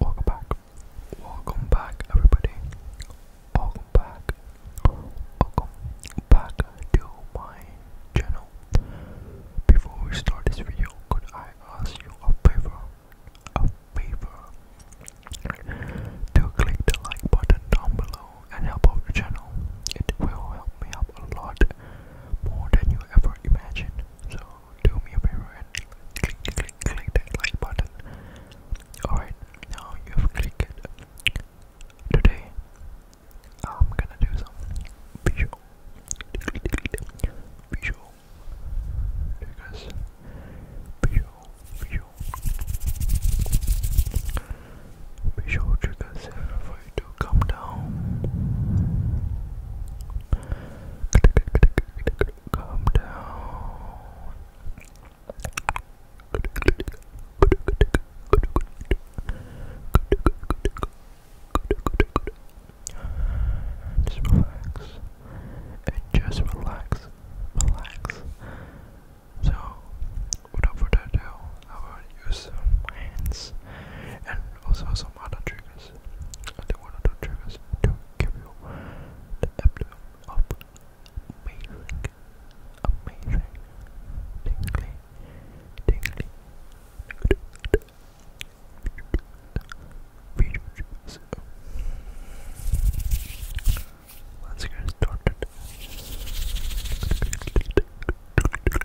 Welcome back. Welcome back everybody. Welcome back. Welcome back to my channel. Before we start this video, could I ask you a favor? A favor to click the like button down below and help out the channel. It will help me up a lot more than you ever imagined. So do me a favor and click, click, click that like button. Alright, now you've clicked it. Today, I'm gonna do some visual, visual, because visual, visual, visual triggers uh, come down. Come down. Just relax. And just relax. Relax. So, without further ado, I will use some hands and also some other tricks I do one or two triggers to give you the abdomen of amazing, amazing, tingly, tingly, video triggers. get started.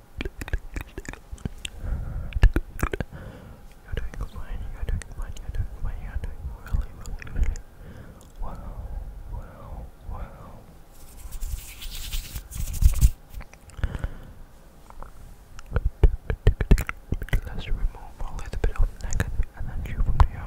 You're doing fine, you're doing fine, you're doing fine, you're doing really, really, really. Wow, wow, wow. Let's remove a little bit of negative energy from the air.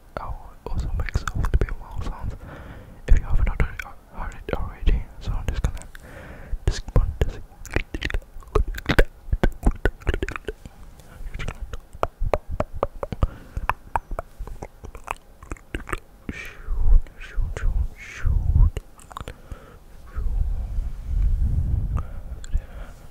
I will also make some little wow sounds if you haven't heard it already. So i shoot, shoot. Shoot.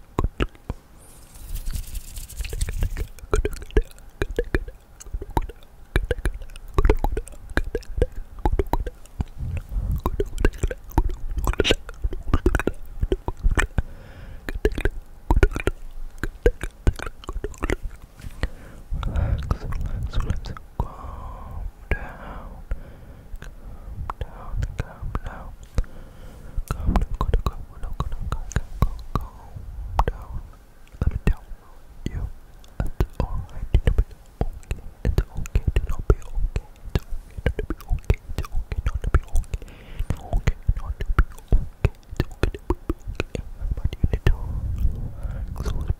Relax, relax, relax. Calm down down, calm down. Calm down, calm down, calm down, calm down, calm down, calm down. Let me tell you, it's alright to be okay. It's okay to not be okay. It's not be okay. It's okay not be okay. okay not be okay. It's okay to be okay. But you need to relax a little bit.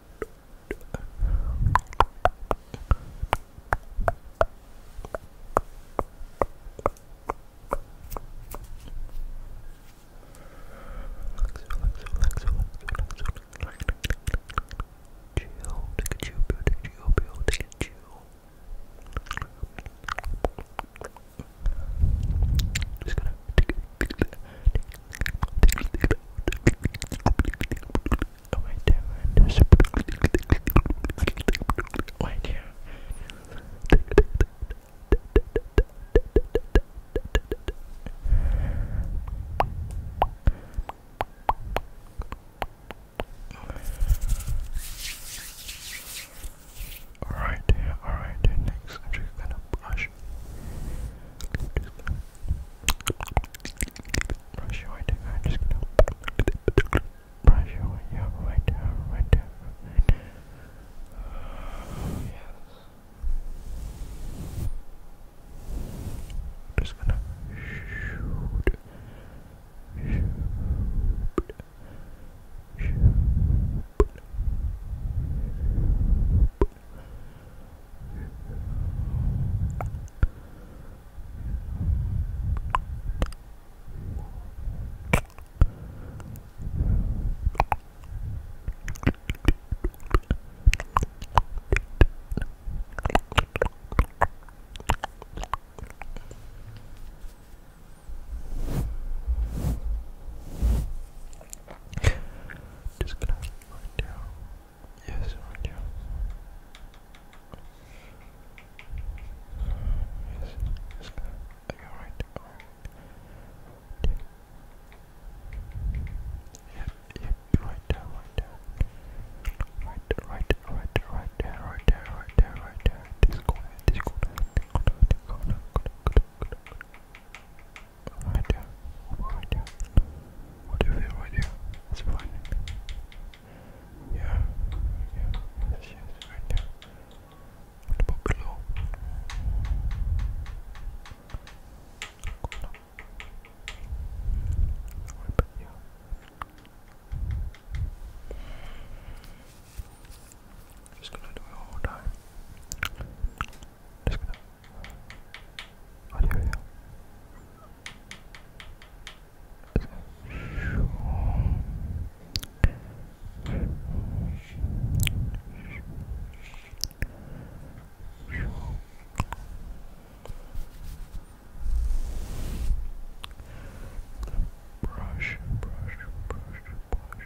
Just gonna right there, right here. Alright there, Next, I'm just gonna brush brush your right I'm just gonna brush your yeah, right hair, right hair, right Just gonna shoot, shoot, shoot. Just gonna have to find out Yes, right here. Yes, yes, are you alright? Alright. Yep, yep, right there, right there. Right, right, right, right there, right there, right there, right there. This corner, this corner, this corner, this corner, corner, corner, corner right there, right there. What you feel right there? It's fine. Yeah, yeah, yes, right there. What about below? Cool. What here? Just gonna do it all time just gonna. What do you Brush, brush, brush, brush.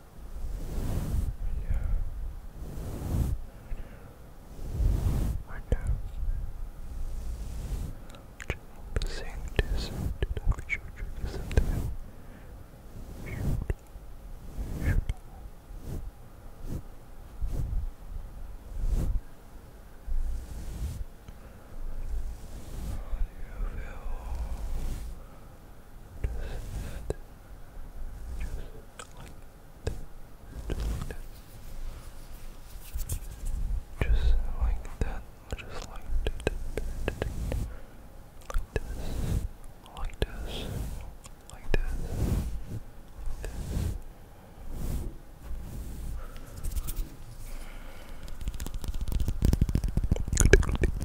I know. Just saying this to make you listen to him. you feel just like that, just like that, like this, like this, like this, like this. Good, good, good, good.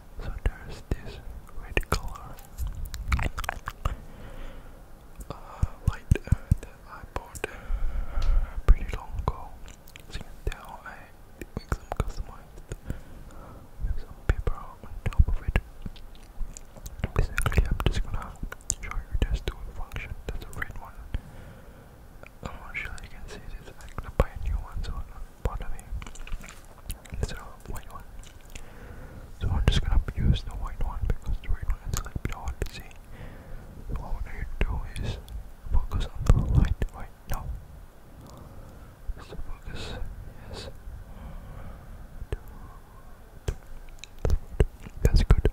So there's this red color uh, light uh, that I bought uh, pretty long ago. As you I make some customized some paper on top of it. Basically, I'm just gonna show you there's two functions. There's a red one I'm not sure you can see this. I'm gonna buy a new one, so bother me. Instead of a white one. So I'm just gonna use the white one because the red one is like bit hard to see. So what I want to do is focus on the light right now. So focus, yes. That's good.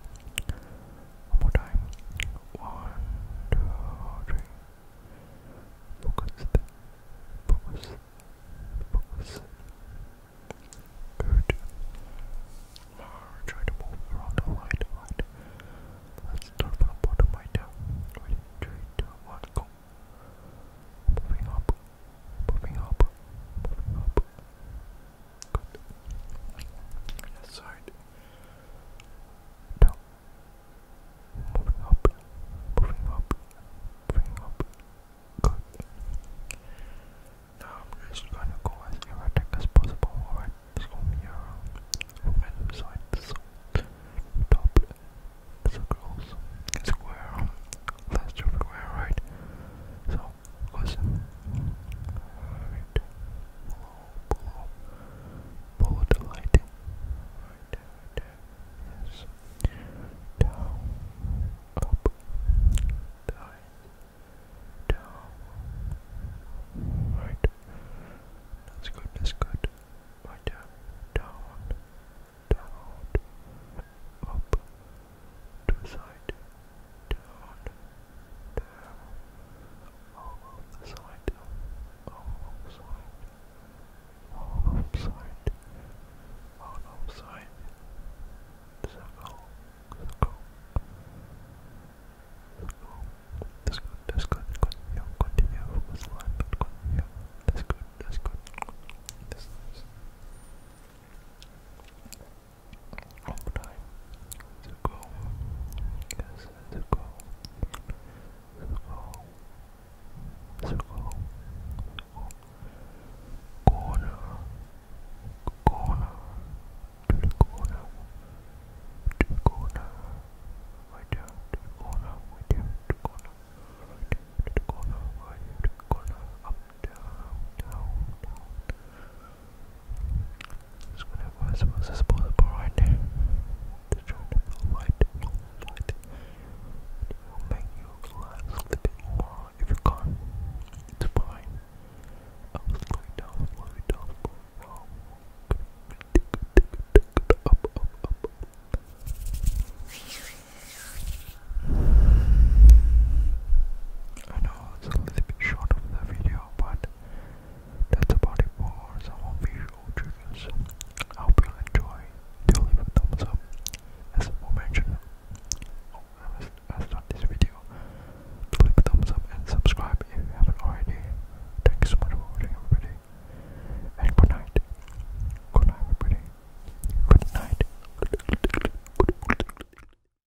One more time. One, two, three focus, focus, focus. Good. try to move around the light, Let's start from the bottom right now. Ready, three, two, one, go. Moving up, moving up, moving up. Good. Left side. Down. Moving up, moving up, moving up. Good. Now I'm just gonna go as erratic as possible. Alright, it's gonna be around on my left side. top circles, square, left everywhere, right? So, listen. Alright, pull, pull the light right right yes, down, up, down, down, right, that's good, that's good, right there, down, down, up, to side, down, down, all of the side, all of side, all of side, all of side, circle, circle, circle. That's good, that's good, continue, continue, focus line, but continue, that's good, that's good, that's nice long time ago. Yes, ago. Ago. Ago. Corner. Corner. To the corner. To the corner. Right down to the corner. Right down to the corner. Right down to the corner. Right down to the corner. Up, down, down, down. Just whatever was was disposable right there. Just trying to feel light, light. It will make you relax a little more if you can't. It's I was slowing down, slowing down for a while. Up, up, up. I know it's a little bit short of the video, but that's about it for some official triggers. I hope you'll enjoy. Do thumbs up. As aforementioned, oh, I start this video. Do leave thumbs up and subscribe if you haven't already. Thank you so much for watching, everybody. good night. Good night, everybody. Good night.